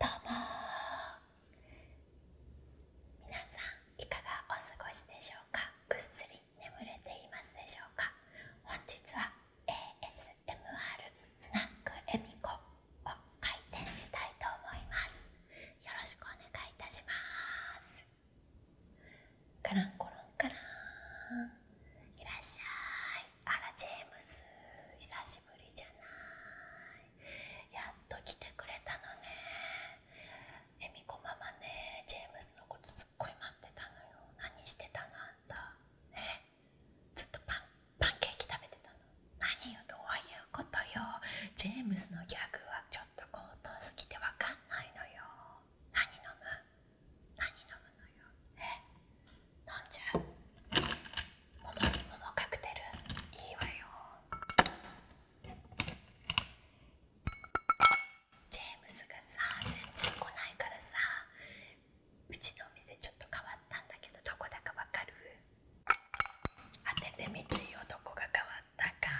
どうも皆さんいかがお過ごしでしょうかぐっすり眠れていますでしょうか本日は ASMR スナックえみこを開店したいと思いますよろしくお願いいたしますカランコロンカランいらっしゃいあらジェームス久しぶりじゃないやっと来てくれたのねえみこママねジェームスのことすっごい待ってたのよ何してたのあんたえずっとパンパンケーキ食べてたの何よどういうことよジェームスのギャグはちょっと高等すぎてわかんないのよ何飲む何飲むのよえ飲んじゃう桃桃カクテルいいわよジェームズがさ全然来ないからさうちのお店ちょっと変わったんだけどどこだかわかる当ててみてよどこが変わったか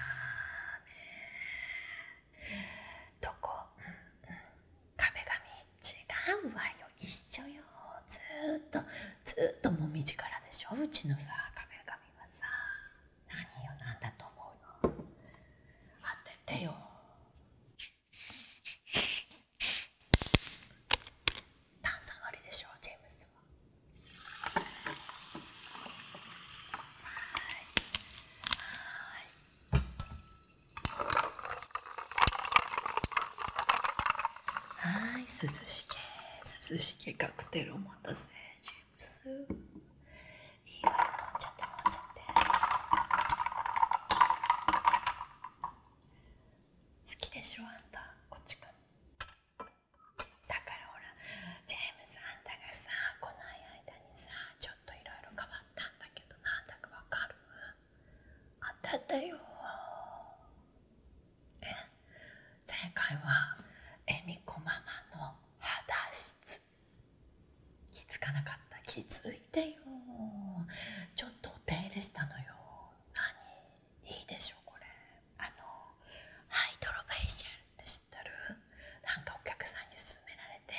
ねどこうんうん違うわよ一緒よずっとずっともみじからでしょうちのさ壁紙はさ何よ何だと思うの当ててよ炭酸割りでしょジェームスははいはいはい涼しげ涼しげカクテルお待たせジェームスいいわよ飲んちゃって飲んちゃって好きでしょあんたこっちかだからほらジェームスあんたがさ来ない間にさちょっといろいろ変わったんだけどなんだかわかる当てたよえ前回は恵美子ママの肌質気づかなかった気づいてよちょっとお手入れしたのよ何いいでしょこれあのハイドロフイシャルって知ってるなんかお客さんに勧められて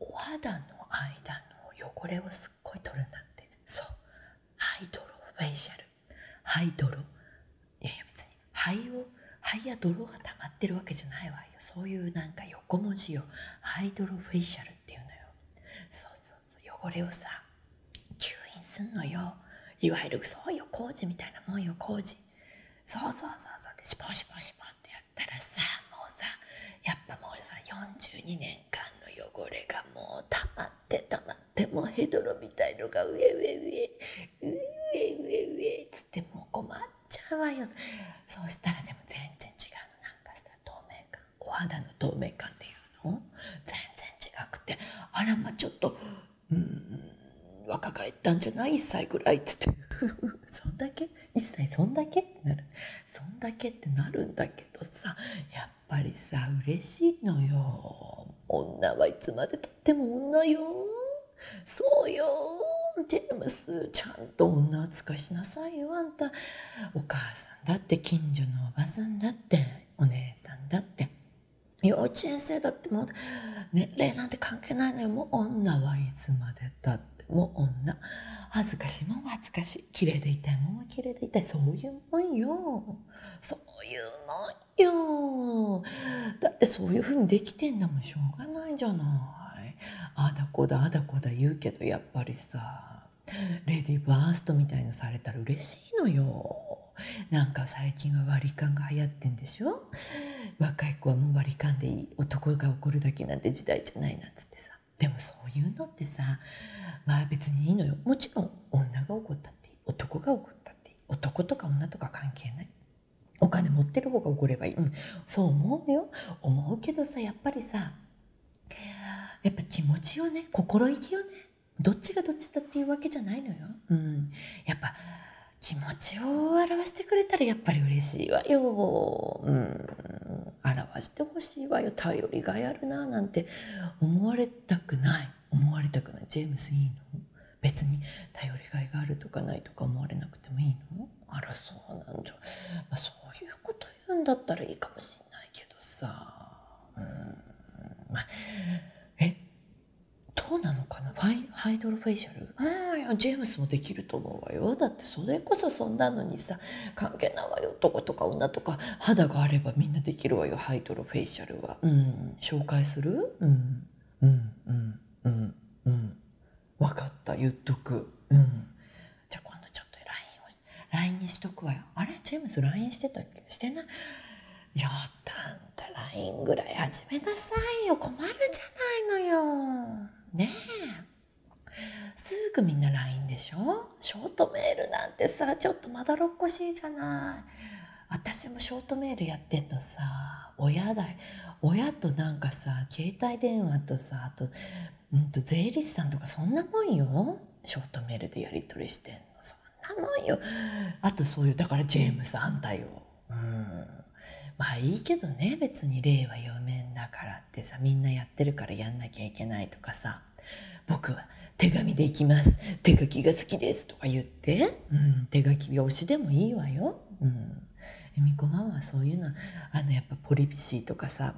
お肌の間の汚れをすっごい取るんだってそうハイドロフェイシャル肺泥いやいや別に肺を肺や泥が溜まってるわけじゃないわよそういうなんか横文字をドロフェイシャルっていうのよそうそうそう汚れをさ吸引すんのよいわゆるそうよ工事みたいなもんよ工事そうそうそうそうでシポシポシポってやったらさもうさやっぱもうさ42年間の汚れがもう溜まってったまってもうヘドロみたいのが上上上上上上っつってもう困っちゃうわよそうしたらでも全然違うのなんかさ透明感お肌の透明感っていうの全然違くてあらまあちょっとうん若返ったんじゃない1歳ぐらいっつって そんだけ1歳そんだけってなるそんだけってなるんだけどさやっぱりさ嬉しいのよ女はいつまでたっても女よそうよジェームスちゃんと女扱いしなさいよあんたお母さんだって近所のおばさんだってお姉さんだって幼稚園生だってもう年齢なんて関係ないのよもう女はいつまでたっても女恥ずかしいもん恥ずかしい綺麗でいたいもんは綺麗でいたいそういうもんよそういうもんよだってそういうふうにできてんだもんしょうがないじゃないあだこだあだこだ言うけどやっぱりさレディーバーストみたいのされたら嬉しいのよなんか最近は割り勘が流行ってんでしょ若い子はもう割り勘でいい男が怒るだけなんて時代じゃないなんつってさでもそういうのってさまあ別にいいのよもちろん女が怒ったって男が怒ったって男とか女とか関係ないお金持ってる方が怒ればいい、そう思うよ思うけどさやっぱりさやっぱ気持ちよね心意気よねどっちがどっちだっていうわけじゃないのよ、うん、やっぱ気持ちを表してくれたらやっぱり嬉しいわよ、うん、表してほしいわよ頼りがいあるななんて思われたくない思われたくないジェームスいいの別に頼りがいがあるとかないとか思われなくてもいいのあらそうなんじゃ、まあ、そういうこと言うんだったらいいかもしんないけどさうんまあえどうなのかなファイハイドロフェイシャルうんいやジェームスもできると思うわよだってそれこそそんなのにさ関係ないわよ男とか女とか肌があればみんなできるわよハイドロフェイシャルは、うん、紹介するうんうんうんうん分かった言っとくじゃあ今度ちょっと l i n を l i n にしとくわよあれチームズ l i n してたっけしてないやったんた l ぐらい始めなさいよ困るじゃないのよねすぐみんな LINE でしょショートメールなんてさちょっとまだろっこしいじゃない私もショートメールやってんのさ親だ親となんかさ携帯電話とさあと,、うんと、税理士さんとかそんなもんよショートメールでやり取りしてんのそんなもんよあとそういうだからジェームスんたよ。うんまあいいけどね別に令和4年だからってさみんなやってるからやんなきゃいけないとかさ僕は手紙で行きます。手書きが好きですとか言って、うん、手書きが推しでもいいわよ。うん。えみこママはそういうの、あのやっぱポリビシーとかさ、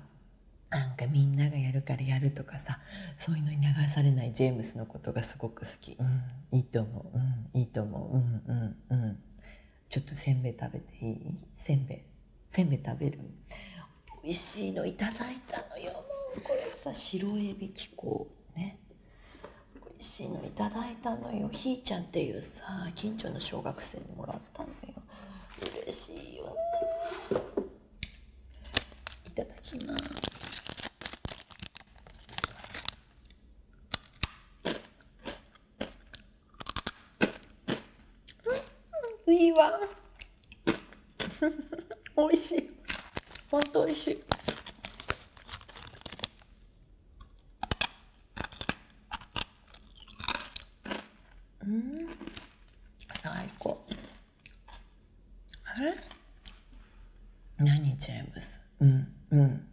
なんかみんながやるからやるとかさそういうのに流されないジェームスのことがすごく好き、うん、いいと思う、うん、いいと思う、うんうんうん、ちょっとせんべい食べていいせんべいせんべい食べる美味しいのいただいたのよこれさ白エビ気候ね美味しいのいただいたのよひーちゃんっていうさ近所の小学生もらったのよ嬉しいよいただきますうんいいわ美味しい本当美味しいうん最高あれ何ジェームスうんうん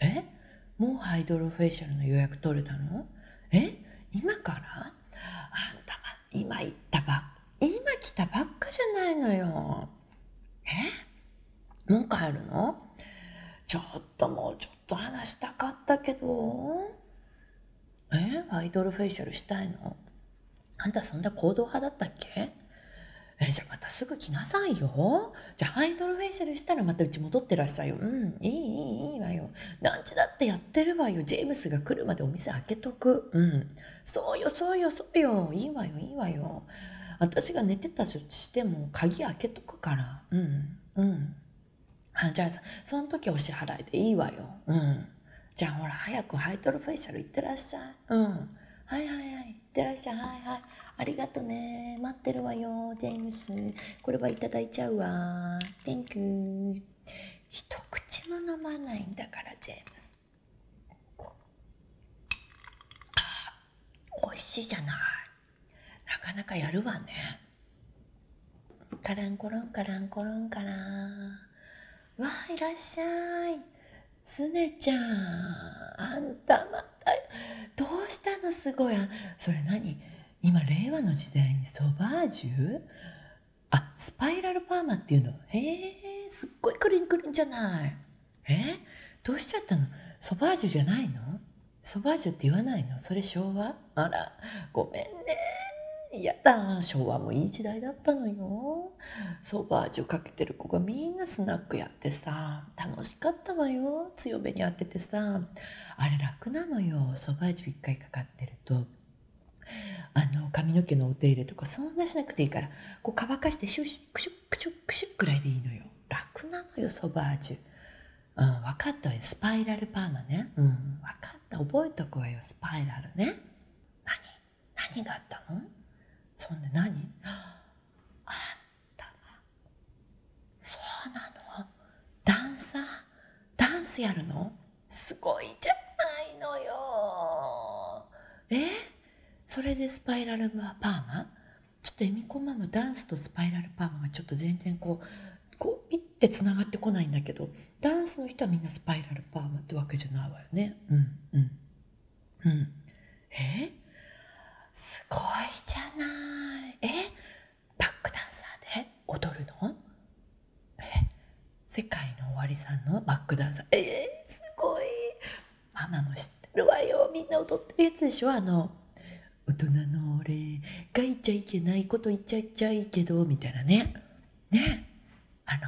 えもうハイドロフェイシャルの予約取れたのえ今からあんた今行ったばっ今来たばっかじゃないのよ。えもう帰るのちょっともうちょっと話したかったけど。えアイドルフェイシャルしたいのあんたそんな行動派だったっけえじゃあまたすぐ来なさいよじゃあアイドルフェイシャルしたらまたうち戻ってらっしゃいようんいいいいいいわよ何時だってやってるわよジェームスが来るまでお店開けとくうんそうよそうよそうよいいわよいいわよ私が寝てたとしても鍵開けとくからうんうんあじゃあその時お支払いでいいわようんじゃあほら早くハイトロフェイシャルいってらっしゃいうんはいはいはいいってらっしゃいはいはいありがとね待ってるわよジェームスこれはいただいちゃうわ Thank you 一口も飲まないんだからジェームスあ美味しいじゃないなかなかやるわねカランコロンカランコロンカランわあいらっしゃいすねちゃんあんたまたどうしたのすごいそれ何今令和の時代にソバージュあスパイラルパーマっていうのへえすっごいくるんくるんじゃないえどうしちゃったのソバージュじゃないのソバージュって言わないのそれ昭和あらごめんねやだ昭和もいい時代だったのよソバージュかけてる子がみんなスナックやってさ楽しかったわよ強めに当ててさあれ楽なのよソバージュ1回かかってるとあの髪の毛のお手入れとかそんなしなくていいからこう乾かしてシュックシュックシュックシュッくらいでいいのよ楽なのよソバージュ、うん、分かったわよスパイラルパーマね、うん、分かった覚えとくわよスパイラルね何何があったのそんな、何あったそうなのダンサーダンスやるのすごいじゃないのよえそれでスパイラルパーマちょっと恵美子ママダンスとスパイラルパーマはちょっと全然こうこういってつながってこないんだけどダンスの人はみんなスパイラルパーマってわけじゃないわよねうんうんうんえすごいじゃないえバックダンサーで踊るの世界の終わりさんのバックダンサーえー、すごいママも知ってるわよみんな踊ってるやつでしょあの大人のお礼が言っちゃいけないこと言っちゃいちゃいけどみたいなねねあの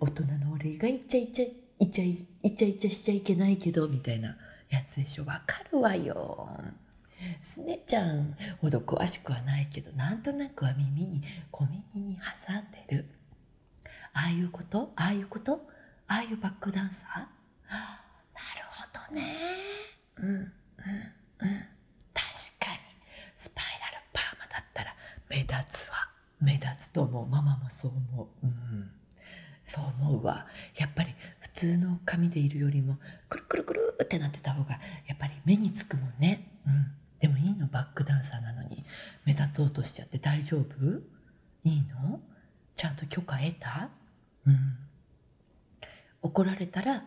大人のお礼が言っちゃいちゃいちゃいいちゃいちゃしちゃいけないけどみたいなやつでしょわかるわよすねちゃんほど詳しくはないけどなんとなくは耳に小耳に挟んでるああいうことああいうことああいうバックダンサーなるほどねうんうんうん確かにスパイラルパーマだったら目立つわ目立つと思うママもそう思ううんそう思うわやっぱり普通の髪でいるよりもくるくるくるってなってた方がやっぱり目につくもんねうんでもいいのバックダンサーなのに目立とうとしちゃって大丈夫いいのちゃんと許可得たうん怒られたら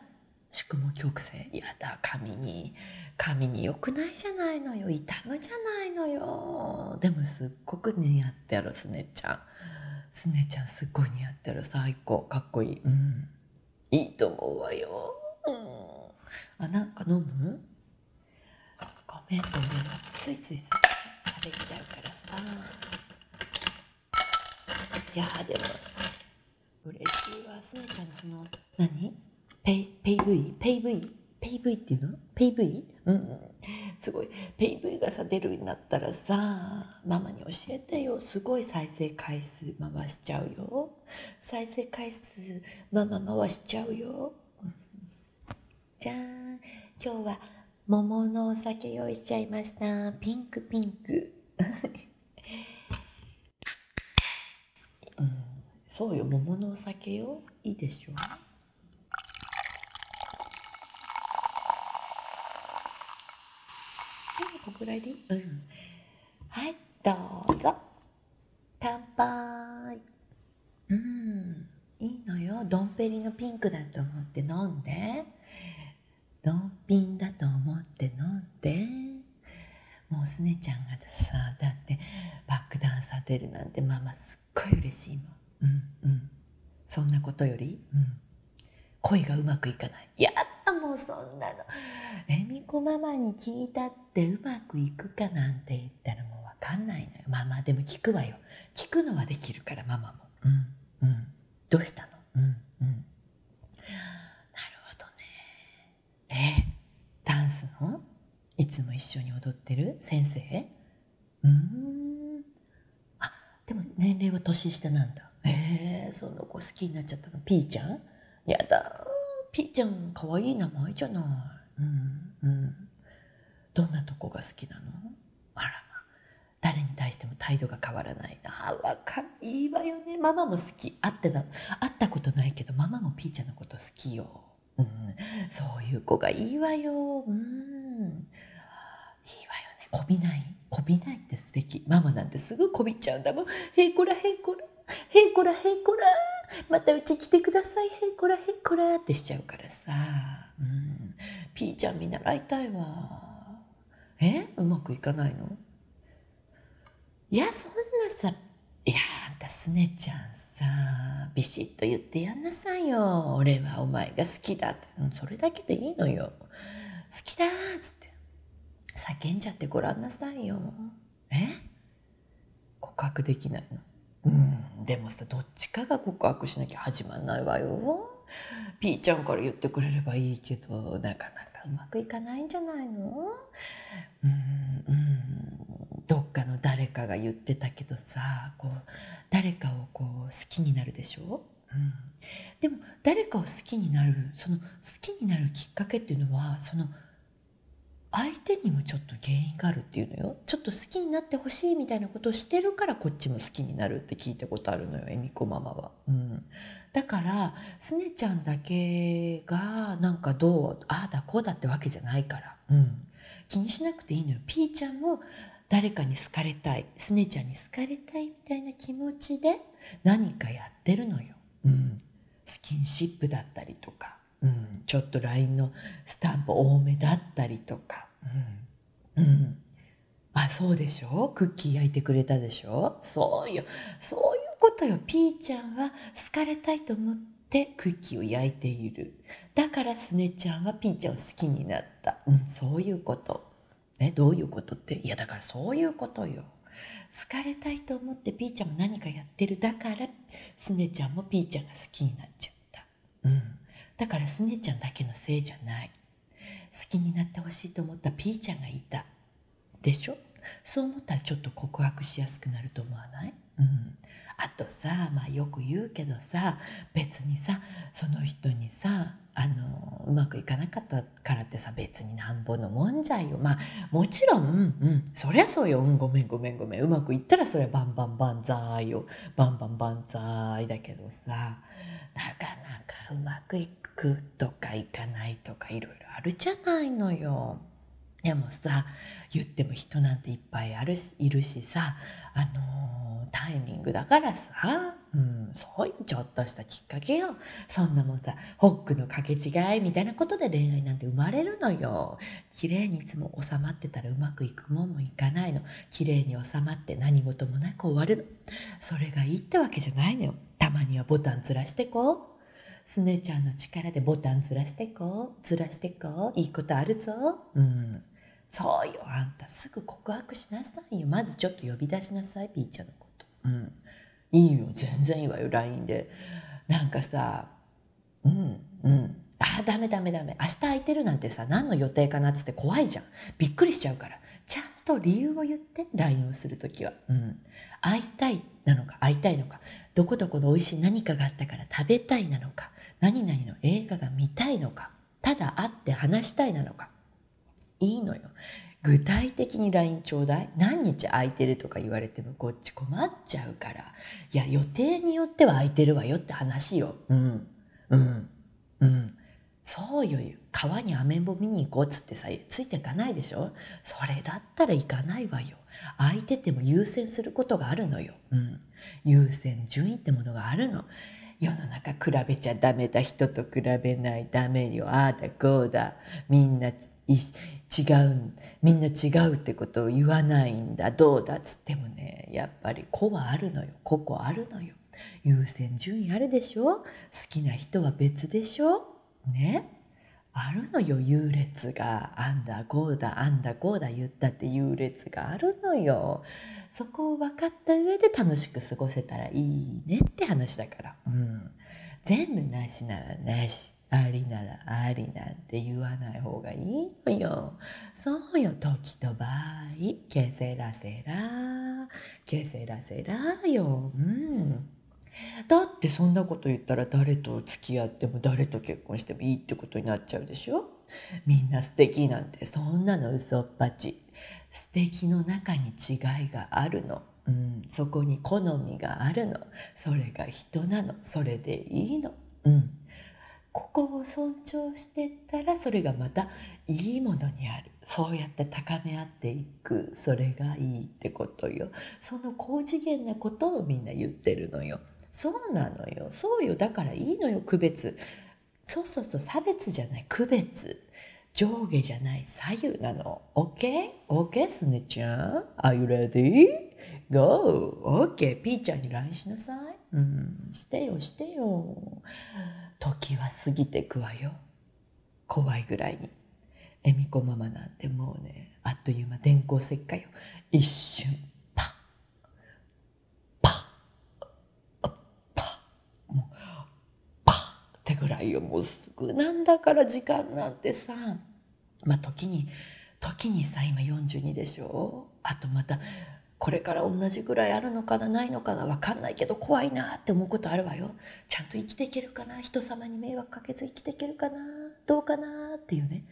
宿毛曲線やだ髪に髪に良くないじゃないのよ痛むじゃないのよでもすっごく似合ってるすねちゃんすねちゃんすっごい似合ってる最高かっこいいうんいいと思うわよ、あなんか飲むごめんごめんついついさ喋っちゃうからさいやでも嬉しいわすねちゃんのその何ペイペイ V ペイ V ペイ V っていうのペイ V? うんすごいペイ V がさ出るようになったらさママに教えてよすごい再生回数回しちゃうよ再生回数ママ回しちゃうよじゃん今日は桃のお酒用意しちゃいましたピンクピンクそうよ桃のお酒よいいでしょうはいどうぞ乾杯うんいいのよドンペリのピンクだと思って飲んでドンピンだと思って飲んでもうすねちゃんがさだってバックダンス当てるなんてママすっごい嬉しいもんうんうんそんなことより恋がうまくいかないやだもうそんなの恵美子ママに聞いたっっうまくいくかなんて言ったらもう分かんないのよママでも聞くわよ聞くのはできるからママも「うんうんどうしたのうんうん」なるほどねえダンスのいつも一緒に踊ってる先生うんあでも年齢は年下なんだえー、その子好きになっちゃったのピーちゃんやだピーちゃんかわいい名前じゃないうんうんどんなとこが好きなのあら誰に対しても態度が変わらないああ、わかいいわよねママも好き会ってた会ったことないけどママもピーちゃんのこと好きよ、うん、そういう子がいいわようんいいわよねこびないこびないってす素き、ママなんてすぐこびちゃうんだもんへいこらへいこらへんこらへんこらまたうち来てくださいへんこらへんこらってしちゃうからさ、うピーちゃん見習いたいわえうまくいかないのいやそんなさいやあんたすねちゃんさビシッと言ってやんなさいよ俺はお前が好きだって、それだけでいいのよ好きだっつって叫んじゃってごらんなさいよえ告白できないのうんでもさどっちかが告白しなきゃ始まんないわよピーちゃんから言ってくれればいいけどなかなかうまくいかないんじゃないのうんうんどっかの誰かが言ってたけどさこう誰かをこう好きになるでしょ、うん、でも誰かを好きになるその好きになるきっかけっていうのはその相手にもちょっと原因があるっていうのよちょっと好きになってほしいみたいなことをしてるからこっちも好きになるって聞いたことあるのよえみこママは、うん、だからすねちゃんだけがなんかどうああだこうだってわけじゃないから、うん、気にしなくていいのよピーちゃんも誰かに好かれたいすねちゃんに好かれたいみたいな気持ちで何かやってるのよ、うん、スキンシップだったりとかうん、ちょっと LINE のスタンプ多めだったりとか、うん、うん、あそうでしょクッキー焼いてくれたでしょそうよそういうことよピーちゃんは好かれたいと思ってクッキーを焼いているだからすねちゃんはピーちゃんを好きになった、うん、そういうこと、ね、どういうことっていやだからそういうことよ好かれたいと思ってピーちゃんも何かやてるだからすねちゃんもピーちゃんが好きになっちゃった、うん、だからすねちゃんだけのせいじゃない好きになってほしいと思ったピーちゃんがいたでしょそう思ったらちょっと告白しやすくなると思わない、うん、あとさまあよく言うけどさ別にさその人にさあのうまくいかなかったからってさ別になんぼのもんじゃよまあもちろん、うん、そりゃそうよ、ん、ごめんごめんごめんうまくいったらそりゃバンバンバンザーイよバンバンバンザーイだけどさなかなかうまくいくとかいかないとかいろいろあるじゃないのよ。でもさ言っても人なんていっぱいあるしいるしさあのタイミングだからさ、うん、そういうちょっとしたきっかけよそんなもんさホックの掛け違いみたいなことで恋愛なんて生まれるのよ綺麗にいつも収まってたらうまくいくもんもいかないの綺麗に収まって何事もなく終わるのそれがいいってわけじゃないのよたまにはボタンずらしてこうすねちゃんの力でボタンずらしてこうずらしてこういいことあるぞうんそうよあんたすぐ告白しなさいよまずちょっと呼び出しなさいピーちゃんのことうんいいよ全然いいわよ LINE でなんかさうんうんあダメダメダメ明日空いてるなんてさ何の予定かなっつって怖いじゃんびっくりしちゃうからちゃんと理由を言って LINE をする時は、うん、会いたいなのか会いたいのかどこどこの美味しい何かがあったから食べたいなのか何々の映画が見たいのかただ会って話したいなのかいいのよ具体的に LINE ちょうだい何日空いてるとか言われてもこっち困っちゃうから、いや、予定によっては空いてるわよって話よ。うん、うん、そうよ、川にアメンボ見に行こうっつってさ、ついていかないでしょそれだったら行かないわよ。空いてても優先することがあるのよ。うん。優先順位ってものがあるの。世の中比べちゃダメだ人と比べない駄目よああだこうだみんな違うみんな違うってことを言わないんだどうだっつってもねやっぱり子はあるのよ個々あるのよ優先順位あるでしょ好きな人は別でしょねあるのよ優劣があんだこうだあんだこうだ言ったって優劣があるのよそこを分かった上で楽しく過ごせたらいいねって話だからうん全部なしならなしありならありなんて言わない方がいいのよ。そうよ、時と場合、けせらせら、けせらせらよ。うん。だってそんなこと言ったら誰と付き合っても誰と結婚してもいいってことになっちゃうでしょみんな素敵なんてそんなの嘘っぱち素敵の中に違いがあるの、うん、そこに好みがあるのそれが人なのそれでいいの、うん、ここを尊重してたらそれがまたいいものにあるそうやって高め合っていくそれがいいってことよその高次元なことをみんな言ってるのよそうなのよそうよだからいいのよ区別そうそうそう差別じゃない区別上下じゃない左右なの OKOK、OK? OK? すねちゃん Are you ready? g ピーちゃんに LINE しなさい。うん、してよ、してよ。時は過ぎてくわよ。怖いぐらいに。恵美子ママなんてもうね、あっという間電光石火よ。一瞬、パッ、パッ、パッ、パッってぐらいよ。もうすぐなんだから時間なんてさ。まあ時に時にさ今42でしょあとまたこれから同じぐらいあるのかなないのかな分かんないけど怖いなって思うことあるわよちゃんと生きていけるかな人様に迷惑かけず生きていけるかなどうかなっていうね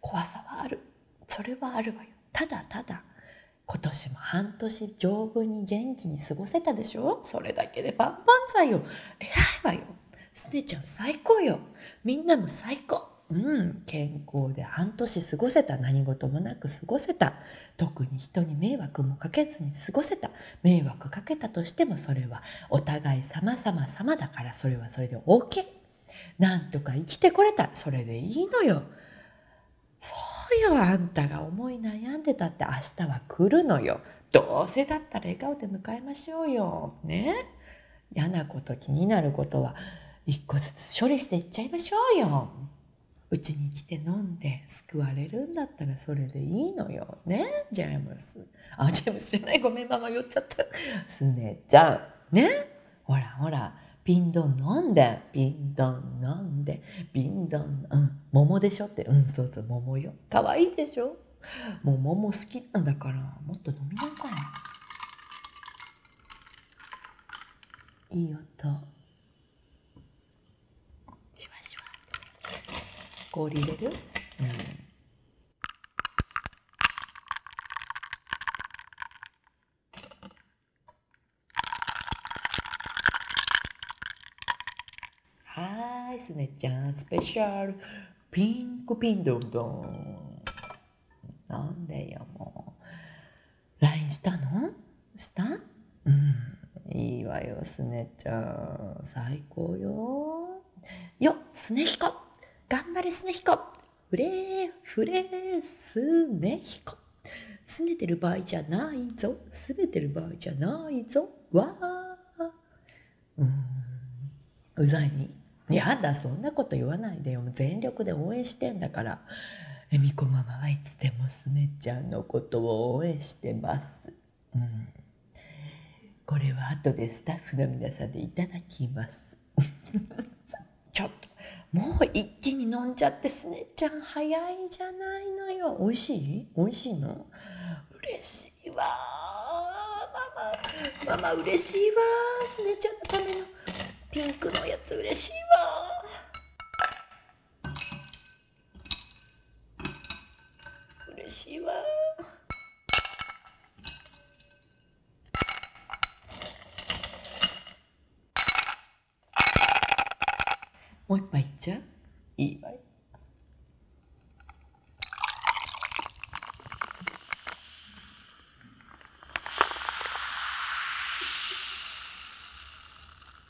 怖さはあるそれはあるわよただただ今年も半年丈夫に元気に過ごせたでしょそれだけで万々歳よ偉いわよすねちゃん最高よみんなも最高うん、健康で半年過ごせた何事もなく過ごせた特に人に迷惑もかけずに過ごせた迷惑かけたとしてもそれはお互い様々様だからそれはそれで OK なんとか生きてこれたそれでいいのよそうよあんたが思い悩んでたって明日は来るのよどうせだったら笑顔で迎えましょうよね嫌なこと気になることは一個ずつ処理していっちゃいましょうよ。うちに来て飲んで救われるんだったらそれでいいのよ。ねジェームス。あ、ジェームスじゃない。ごめん、ママ酔っちゃった。すねちゃん。ねほらほら。ビんどん飲んで、ビんどん飲んで、ビんどん。うん、桃でしょって、うん、そうそう、桃よ。かわいいでしょも桃好きなんだから、もっと飲みなさい。いい音しュしシュワ氷入れる、はんはい、すねちゃんスペシャルピンクピンドンドン。なんでよ、もう。l i n したのしたうん。いいわよ、スネちゃん。最高よ。よ、すねひこ。頑張れ、すねひこ。ふれふれスネヒコ。すねてる場合じゃないぞ。すべてる場合じゃないぞ。わー。うざいに「やだそんなこと言わないでよ全力で応援してんだから恵美子ママはいつでもすねちゃんのことを応援してます」これは後でスタッフの皆さんでいただきます ちょっともう一気に飲んじゃってすねちゃん早いじゃないのよ美味しい美味しいの嬉しいわママママ嬉しいわすねちゃんのためのピンクのやつ嬉しいわ嬉しいわもう一杯いっちゃういいわよ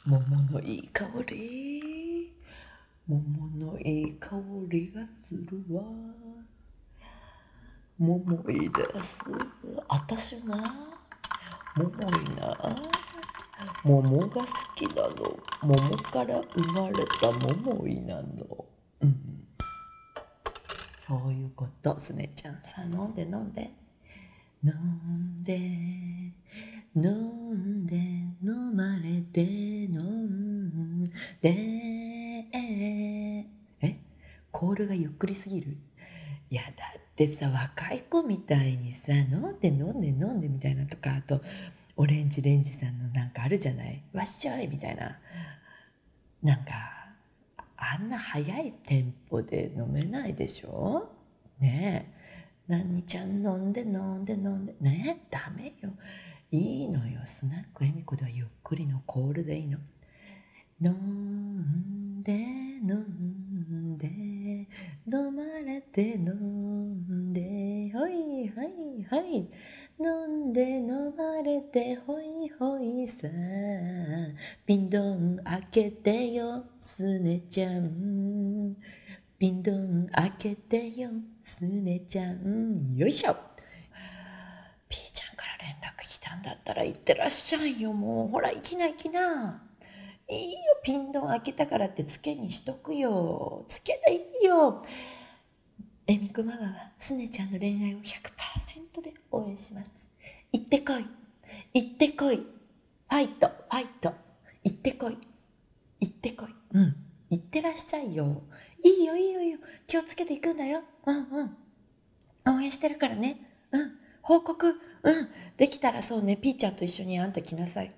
桃のいい香り桃のいい香りがするわ桃井です私たな桃井な桃が好きなの桃から生まれた桃井なのうん、そういうことすねちゃんさ飲んで飲んで飲んで飲んで飲まれて飲んでえコールがゆっくりすぎるいやだってさ若い子みたいにさ飲んで飲んで飲んでみたいなとかあとオレンジレンジさんのなんかあるじゃないわっしょいみたいななんかあんな早いテンポで飲めないでしょねえ何ちゃん飲んで飲んで飲んでねえダメよいいのよスナック恵美子ではゆっくりのコールでいいの飲んで飲んで飲まれて飲んでほいはいはい飲んで飲まれてホイホイさピンドン開けてよスネちゃんピンドン開けてよスネちゃんよいしょピーちゃんから連絡来たんだったら行ってらっしゃいよもうほらいきな行きないいよピンドン開けたからってつけにしとくよつけでいいよえみ子ママはスネちゃんの恋愛を100%で応援します行ってこい行ってこいファイトファイト行ってこい行ってこいうん行ってらっしゃいよいいよいいよいいよ気をつけていくんだようんうん応援してるからねうん報告うんできたらそうねピーちゃんと一緒にあんた来なさい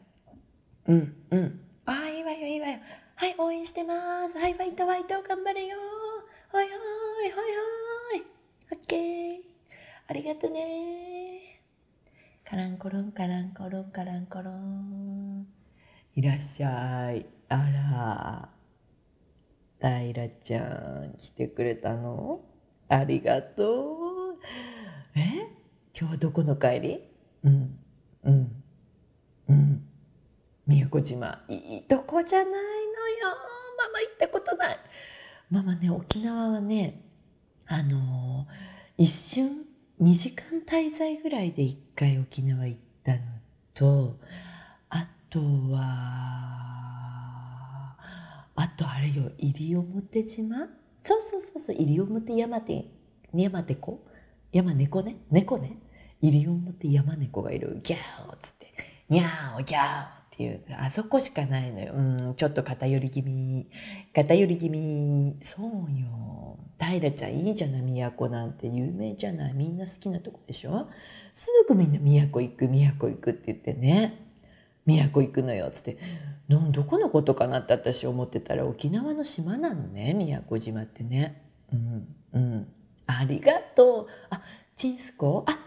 うんうんああいいわよいいわよはい応援してますはいファイトファイト頑張れよはいはいはいはいオッケーありがとねカランコロンカランコロンカランコロンいらっしゃいあら平ちゃん来てくれたのありがとうえ今日はどこの帰りうんうんうん宮古島いいとこじゃないのよママ行ったことないママね沖縄はねあの一瞬2時間滞在ぐらいで一回沖縄行ったのとあとはあとあれよ西表島そうそうそうそう西表山手山手子山猫ね猫ね西表山猫がいるギャーっつって。にゃおぎゃっていう、あそこしかないのよ。うん、ちょっと偏り気味。偏り気味。そうよ。平ちゃんいいじゃない、都なんて有名じゃない。みんな好きなとこでしょすぐみんな都行く、都行くって言ってね。都行くのよっつってどこのことかなって私思ってたら沖縄の島なのね宮古島ってね。うんうん、ありがとうあチンスコあ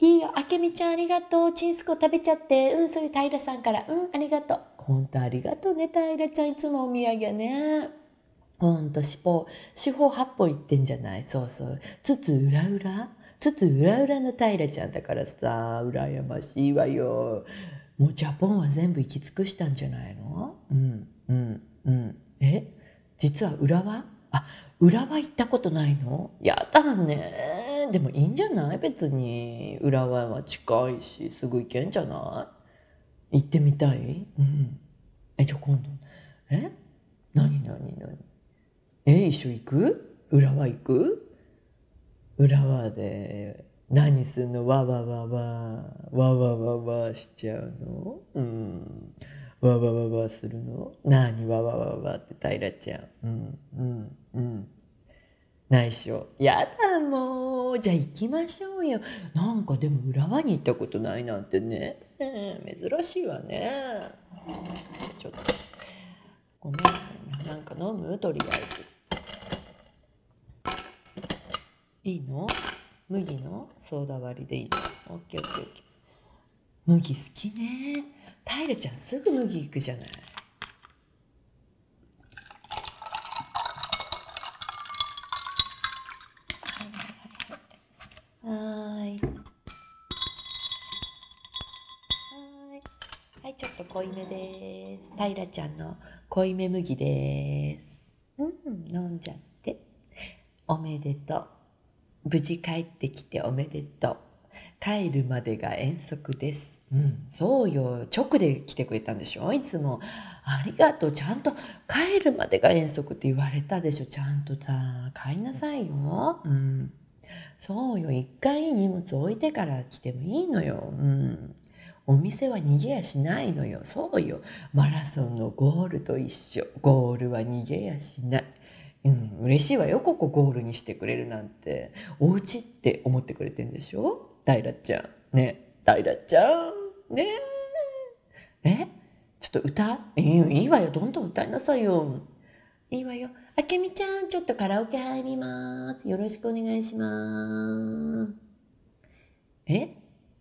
いいよ、あけみちゃんありがとう。ちんすこ食べちゃって。うん、そういう平さんから。うん、ありがとう。ほんとありがとうね、平ちゃん。いつもお土産ね。ほんと、四方、四方八方言ってんじゃないそうそう。つつうらうらつつうらうらの平ちゃんだからさ、羨ましいわよ。もうジャポンは全部行き尽くしたんじゃないのうん、うん、うん。え実は浦和あ浦和行ったことないのやだねでもいいんじゃない別に浦和は近いしすぐ行けんじゃない行ってみたいうんえじゃ今度え何何何え一緒行く浦和行く浦和で何すんのわわわわわわわわちゃうのうんわわわわするの何わわわわって平ちゃんうんうんうん内緒やだもうじゃ行きましょうよなんかでも浦和に行ったことないなんてね、珍しいわねちょっとごめんなんか飲むとりあえずいいの麦のソーダ割りでいいオッケーオッケーオッケー。麦好きね。タちゃんすぐ麦行くじゃない。濃いめです。タちゃんの濃いめ麦です。うん飲んじゃっておめでとう無事帰ってきておめでとう帰るまでが遠足です。うん、そうよ。直で来てくれたんでしょいつも。ありがとう。ちゃんと帰るまでが遠足って言われたでしょちゃんとさ、帰りなさいよ。うん。そうよ。一回荷物置いてから来てもいいのよ。うん。お店は逃げやしないのよ。そうよ。マラソンのゴールと一緒。ゴールは逃げやし。しない。うん、嬉しいわよここゴールにしてくれるなんてお家って思ってくれてんでしょダイちゃんねダイちゃんねえちょっと歌いいわよどんどん歌いなさいよいいわよあけみちゃんちょっとカラオケ入りますよろしくお願いしますえ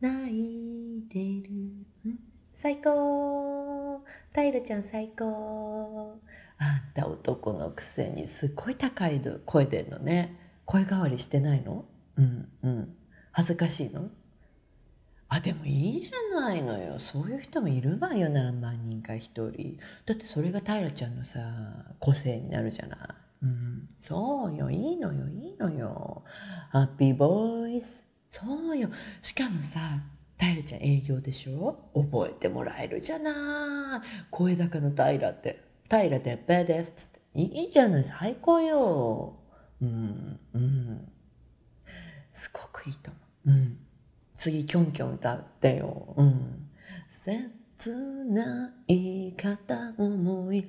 泣いてる最高タイルちゃん最高あんた男のくせにすっごい高い声でんのね声変わりしてないのうんうん恥ずかしいのあでもいいじゃないのよそういう人もいるわよ何万人か一人だってそれが平ちゃんのさ個性になるじゃないそうよいいのよいいのよハッピーボイスそうよしかもさ平ちゃん営業でしょ覚えてもらえるじゃない声高の平って平てっぺですっつっていいじゃない最高ようんうんすごくいいと思ううん次キョンキョン歌ってようん切ない方思い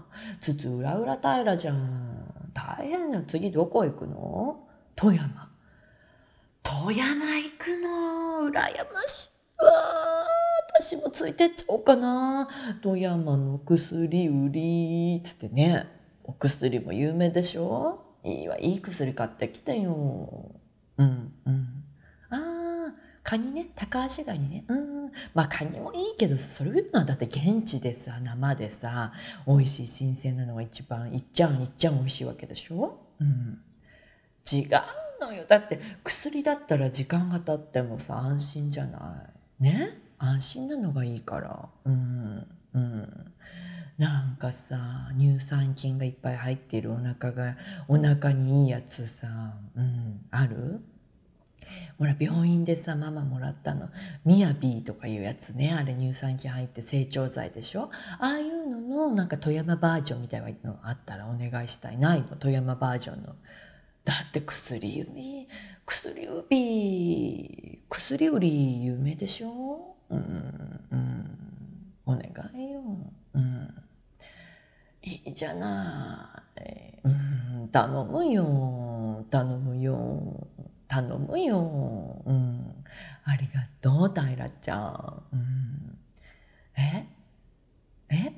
筒裏裏平じゃん大変な次どこ行くの富山富山行くの羨ましいわ私もついてっちゃおうかな富山の薬売りっつってねお薬も有名でしょいいわいい薬買ってきてようんうんああカニね高足ガニねうんまあカニもいいけどそれいうのはだって現地でさ生でさ美味しい新鮮なのが一番いっちゃんいっちゃん美味しいわけでしょ、うん、違うのよだって薬だったら時間が経ってもさ安心じゃないね安心なのがいいからうんうんなんかさ乳酸菌がいっぱい入っているお腹がお腹にいいやつさ、うん、あるほら病院でさママもらったのミヤビとかいうやつねあれ乳酸菌入って成長剤でしょああいうののなんか富山バージョンみたいなのあったらお願いしたいないの富山バージョンの。だって薬指薬指薬売り有名でしょうんうんお願いよ。うんいいじゃない。うん、頼むよ。頼むよ。頼むよ。うん。ありがとう、たらちゃん。うん。ええ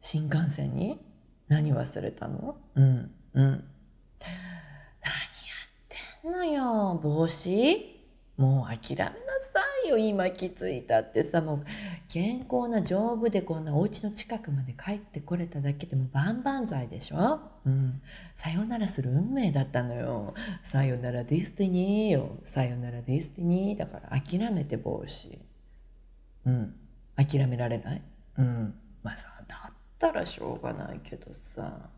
新幹線に何忘れたのうん。何やってんのよ。帽子もう諦めなさいよ。今きついたってさ、もう。健康な丈夫でこんなお家の近くまで帰ってこれただけでも万々歳でしょ、うん、さよならする運命だったのよさよならディスティニーよさよならディスティニーだから諦めて帽子うん諦められないうんまあさだったらしょうがないけどさ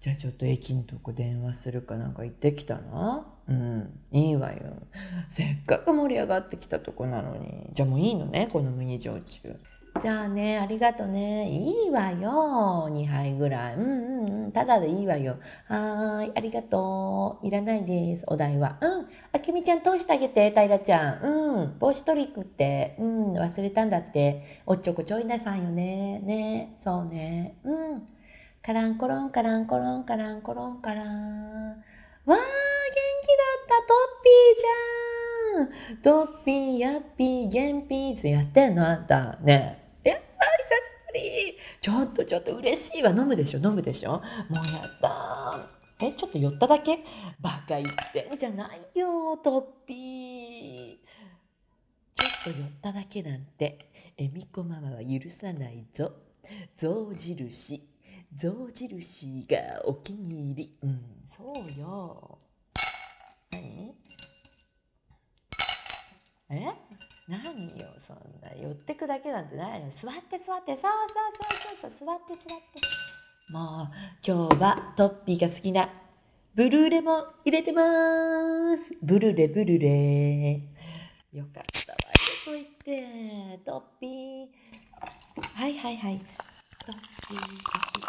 じゃあちょっと駅のとこ電話するかなんか行ってきたなうんいいわよ、せっかく盛り上がってきたとこなのにじゃあもういいのねこの麦焼酎じゃあねありがとねいいわよ2杯ぐらいうんうんうんただでいいわよはいありがとういらないですお代はうんあきみちゃん通してあげて平ちゃんうん帽子トリックってうん忘れたんだっておっちょこちょいなさいよねねそうねうんカランコロンカランコロンカランコロンカランわー、元気だった、トッピーちゃん。トッピー、ヤッー、ゲンピやってんんた。ねえ。やー、久しぶり。ちょっとちょっと嬉しいわ。飲むでしょ、飲むでしょ。もうやったえ、ちょっと寄っただけバカ言ってんじゃないよ、トッピー。ちょっと寄っただけなんて、恵美子ママは許さないぞ。象印象印がお気に入りうんそうよ何え何よそんな寄ってくだけなんてないの座って座ってそうそうそうそう座って座ってもう今日はトッピーが好きなブルーレも入れてますブルーレブルーレよかったわどこ行ってトッ。ピはいはいはい。トッピー、トッ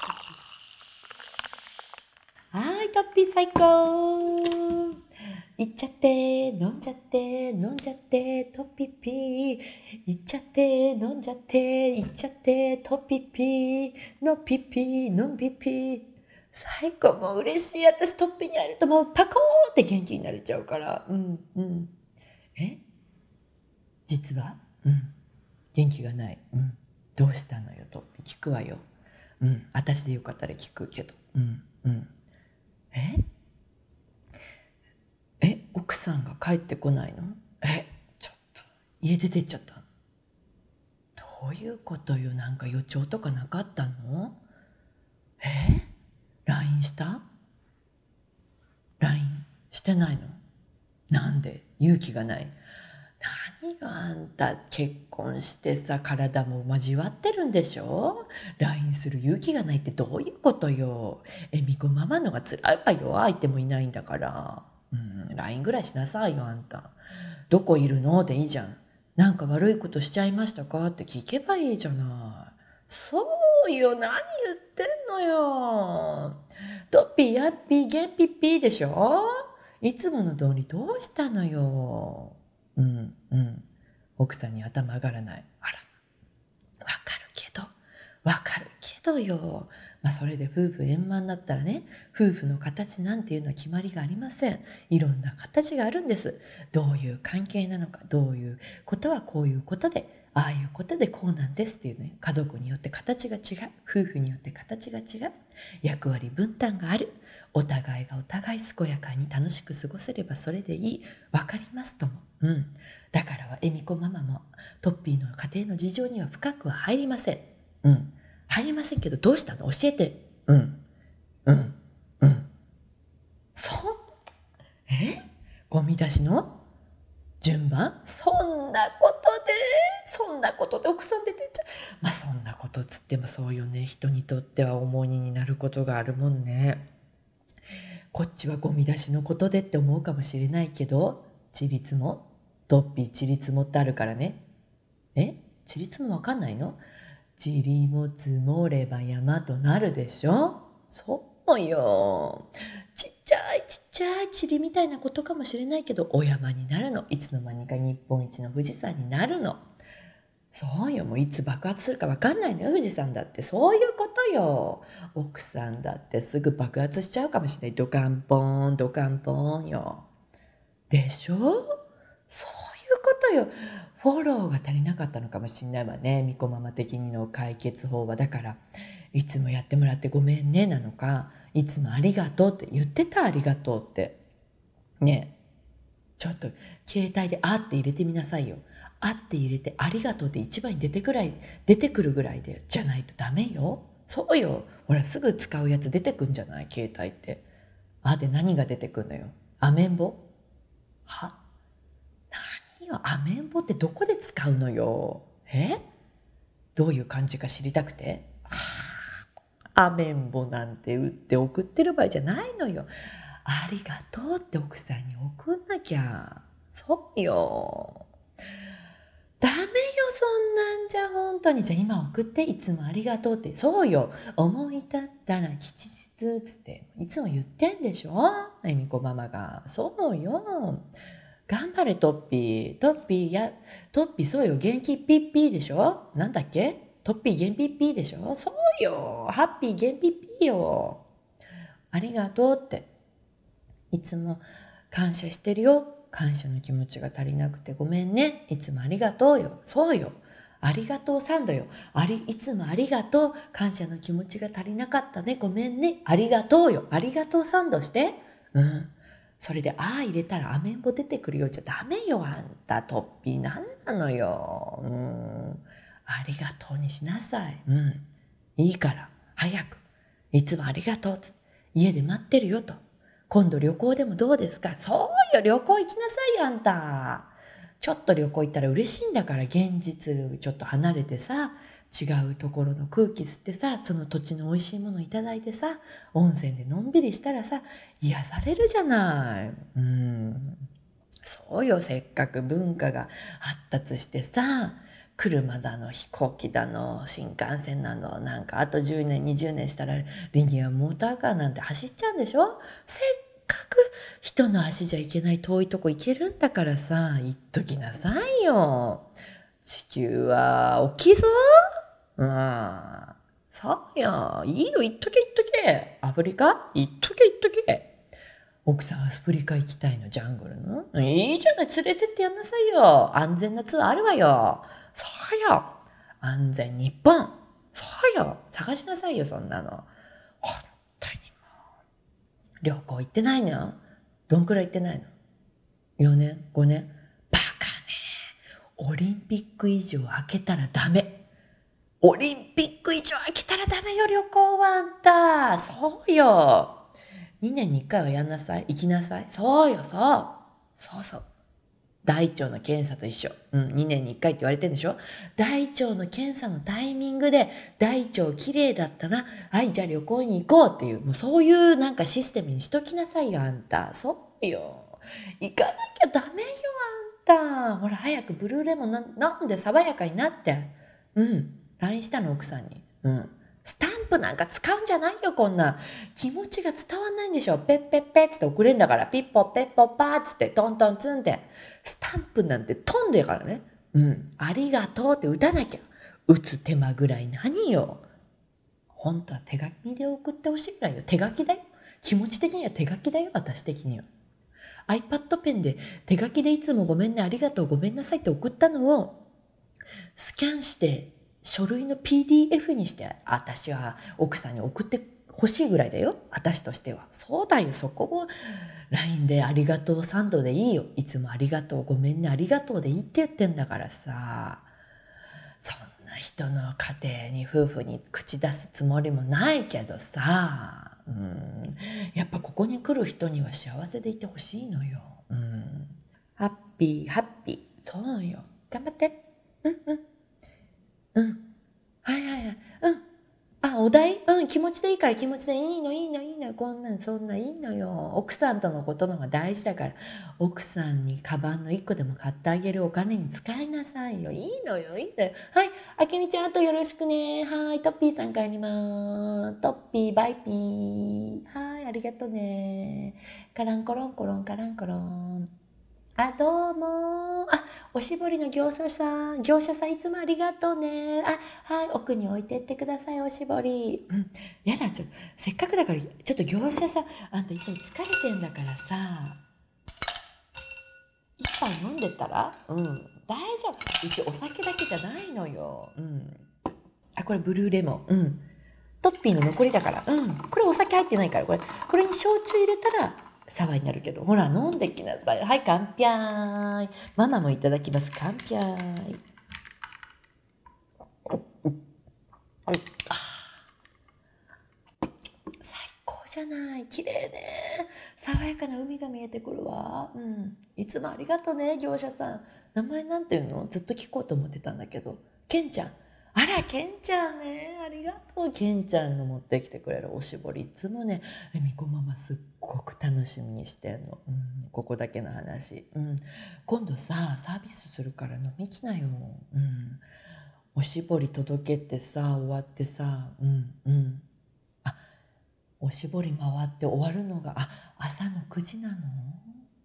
はい、トッ最高いっちゃって、飲んじゃって、飲んじゃって、トッピーっちゃって、飲んじゃって、いっちゃって、トッピのピーのんぴぴ最高、も嬉しい。私トッに会えるともうパコンって元気になれちゃうから。うん、うん。え実は、うん、元気がない、うん、どうしたのよと聞くわよ、うん、私でよかったら聞くけど、うんうん、ええ奥さんが帰ってこないのえちょっと家出てっちゃったどういうことよなんか予兆とかなかったのえ ?LINE した LINE してないのなんで勇気がない何よあんた結婚してさ体も交わってるんでしょ ?LINE する勇気がないってどういうことよえみこママのが辛いわよ相手もいないんだからうん LINE ぐらいしなさいよあんたどこいるのでいいじゃんなんか悪いことしちゃいましたかって聞けばいいじゃないそうよ、何言ってんのよ。とぴやぴ、げんぴぴでしょいつもの通りどうしたのよ。うん、うん。奥さんに頭上がらない。あら、わかるけど、わかるけどよ。まあ、それで夫婦円満だったらね夫婦の形なんていうのは決まりがありませんいろんな形があるんですどういう関係なのかどういうことはこういうことでああいうことでこうなんですっていうね家族によって形が違う夫婦によって形が違う役割分担があるお互いがお互い健やかに楽しく過ごせればそれでいい分かりますとも、うん、だからは恵美子ママもトッピーの家庭の事情には深くは入りません、うん、入りませんけどどうしたの教えてうんうんうんそうえゴミ出しの順番そんなことでそんなことで奥さん出てっちゃうまあそんなことつってもそうよね人にとっては重荷になることがあるもんねこっちはゴミ出しのことでって思うかもしれないけどちびつもドッピーちりつもってあるからねえちりつもわかんないのちりも積もれば山となるでしょそうよ。ちっちゃいちっちゃい塵みたいなことかもしれないけど、お山になるの。いつの間にか日本一の富士山になるの。そうよ。もういつ爆発するか分かんないのよ、富士山だって。そういうことよ。奥さんだってすぐ爆発しちゃうかもしれない。ドカンポーン、ドカンポーンよ。でしょそういうことよ。フォローが足りなかったのかもしんないわね。みこまま的にの解決法は。だから、いつもやってもらってごめんね」なのか「いつもありがとう」って言ってた「ありがとう」ってねちょっと携帯で「あ」って入れてみなさいよ。あって入れて「ありがとう」って一番に出てくらい出てくるぐらいでじゃないとダメよ。そうよほらすぐ使うやつ出てくんじゃない携帯って。あで何が出てくんのよ。アメンボは何よアメンボってどこで使うのよえどういう感じか知りたくてアメンボなんて売って送ってる場合じゃないのよありがとうって奥さんに送んなきゃそうよダメよそんなんじゃ本当にじゃ今送っていつもありがとうってそうよ思い立ったら吉日つっていつも言ってんでしょ恵美子ママが。そうよ。頑張れトッピー。トッピーや、トッピーそうよ。元気ピッピーでしょなんだっけトッピー元ピッピーでしょそうよ。ハッピー元ピッピーよ。ありがとうって。いつも感謝してるよ。感謝の気持ちが足りなくてごめんね。いつもありがとうよ。そうよ。ありがとうサンドよ。あり、いつもありがとう。感謝の気持ちが足りなかったね。ごめんね。ありがとうよ。ありがとうサンドして。うん。それで、ああ入れたらアメンボ出てくるよ。じゃダメよ、あんた。トッなんなのよ。うん。ありがとうにしなさい。うん。いいから。早く。いつもありがとう。家で待ってるよと。今度旅行でもどうですかそうよ、旅行行きなさいよ、あんた。ちょっと旅行行ったら嬉しいんだから、現実ちょっと離れてさ、違うところの空気吸ってさその土地の美味しいもの頂いてさ温泉でのんびりしたらさ癒されるじゃない。うんそうよせっかく文化が発達してさ車だの飛行機だの新幹線なのなんかあと10年20年したらリニアモーターカーなんて走っちゃうんでしょせっかく人の足じゃ行けない遠いとこ行けるんだからさときなさいよ。地球は大きいぞ。うん。さあや、いいよ、行っとけ行っとけ。アフリカ行っとけ行っとけ。奥さんアフリカ行きたいの、ジャングルの。いいじゃない、連れてってやんなさいよ。安全なツアーあるわよ。そうよ。安全日本。そうよ。探しなさいよ、そんなの。旅行行ってないのどんくらい行ってないの ?4 年 ?5 年バカねオリンピック以上開けたらダメオリンピック以上開けたらダメよ旅行はあんたそうよ2年に1回はやんなさい行きなさいそうよそうそうそう大腸の検査と一緒、うん、2年に1回って言われてんでしょ大腸の検査のタイミングで大腸きれだったなはいじゃあ旅行に行こうっていうもうそういうなんかシステムにしときなさいよあんたそうよ行かなきゃダメよあんたほら早くブルーレモンなんで爽やかになってうん LINE したの奥さんにうんスタンプなんか使うんじゃないよ、こんな。気持ちが伝わんないんでしょ。ペッペッペっつって送れんだから、ピッポッペッポッパーっつって、トントンつんで。スタンプなんて飛んでからね。うん、ありがとうって打たなきゃ。打つ手間ぐらい何よ。本当は手書きで送ってほしいぐらいよ。手書きだよ。気持ち的には手書きだよ、私的には。iPad ペンで手書きでいつもごめんね、ありがとう、ごめんなさいって送ったのを、スキャンして、書類の PDF にして、私は奥さんに送ってほしいぐらいだよ。私としては。そうだよ、そこを。l i n で「ありがとうサンでいいよいつも「ありがとうごめんねありがとう」でいいって言ってんだからさそんな人の家庭に夫婦に口出すつもりもないけどさやっぱここに来る人には幸せでいてほしいのよ。ハッピーハッピーそうよ頑張ってうんうんうんはいはいはいうんあお題うん気持ちでいいから気持ちでいいのいいのいいのこんなんそんないいのよ奥さんとのことのが大事だから奥さんにカバンの1個でも買ってあげるお金に使いなさいよいいのよいいのよはいあけみちゃんあとよろしくねはいトッピーさん帰りますトッピーバイピーはいありがとねカランコロンコロンカランコロンあ、どうも。あ、おしぼりの業者さん、業者さんいつもありがとうね。あ、はい奥に置いてってくださいおしぼり」うん「やだちょせっかくだからちょっと業者さんあんたいつも疲れてんだからさ一杯飲んでたらうん大丈夫一応お酒だけじゃないのよ」うんあこれブルーレモンうんトッピーの残りだからうんこれお酒入ってないからこれこれに焼酎入れたら騒ワになるけどほら飲んできなさいはい乾ー、ママもいただきます乾ー。最高じゃない綺麗ね爽やかな海が見えてくるわうんいつもありがとね業者さん名前何ていうのずっと聞こうと思ってたんだけどケンちゃんあらケンちゃんねありがとうケンちゃんの持ってきてくれるおしぼりいつもね恵美子ママすっごく楽しみにしてんの、うん、ここだけの話、うん、今度さサービスするから飲み来なよ、うん、おしぼり届けてさ終わってさうんうんあおしぼり回って終わるのがあ朝の9時なの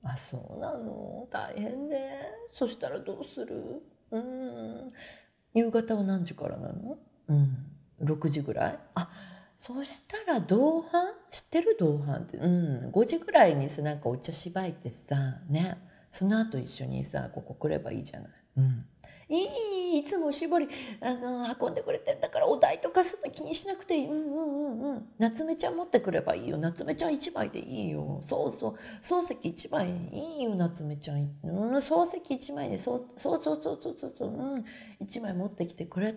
あそうなの大変ねそしたらどうするうん夕方は何時からなのうん6時ぐらいあそしたら同伴知てる同伴って、うん、5時ぐらいになんかお茶しばいてさねその後一緒にさここ来ればいいじゃない。うんいいいつも絞りあの運んでくれてんだからお代とかそんな気にしなくていいうんうんうんうん夏目ちゃん持ってくればいいよ夏目ちゃん1枚でいいよそうそう漱石1枚いいよ夏目ちゃん、うん、漱石1枚でそうそうそうそうそうそう、うん、1枚持ってきてくれ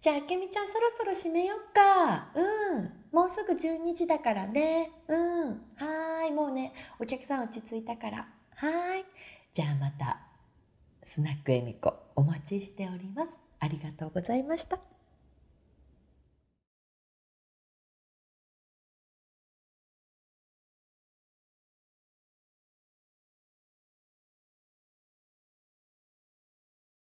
じゃあ、あけみちゃんそろそろ閉めよっか。うん。もうすぐ12時だからね。うん。はい。もうね、お客さん落ち着いたから。はい。じゃあまた、スナックえみこ、お待ちしております。ありがとうございました。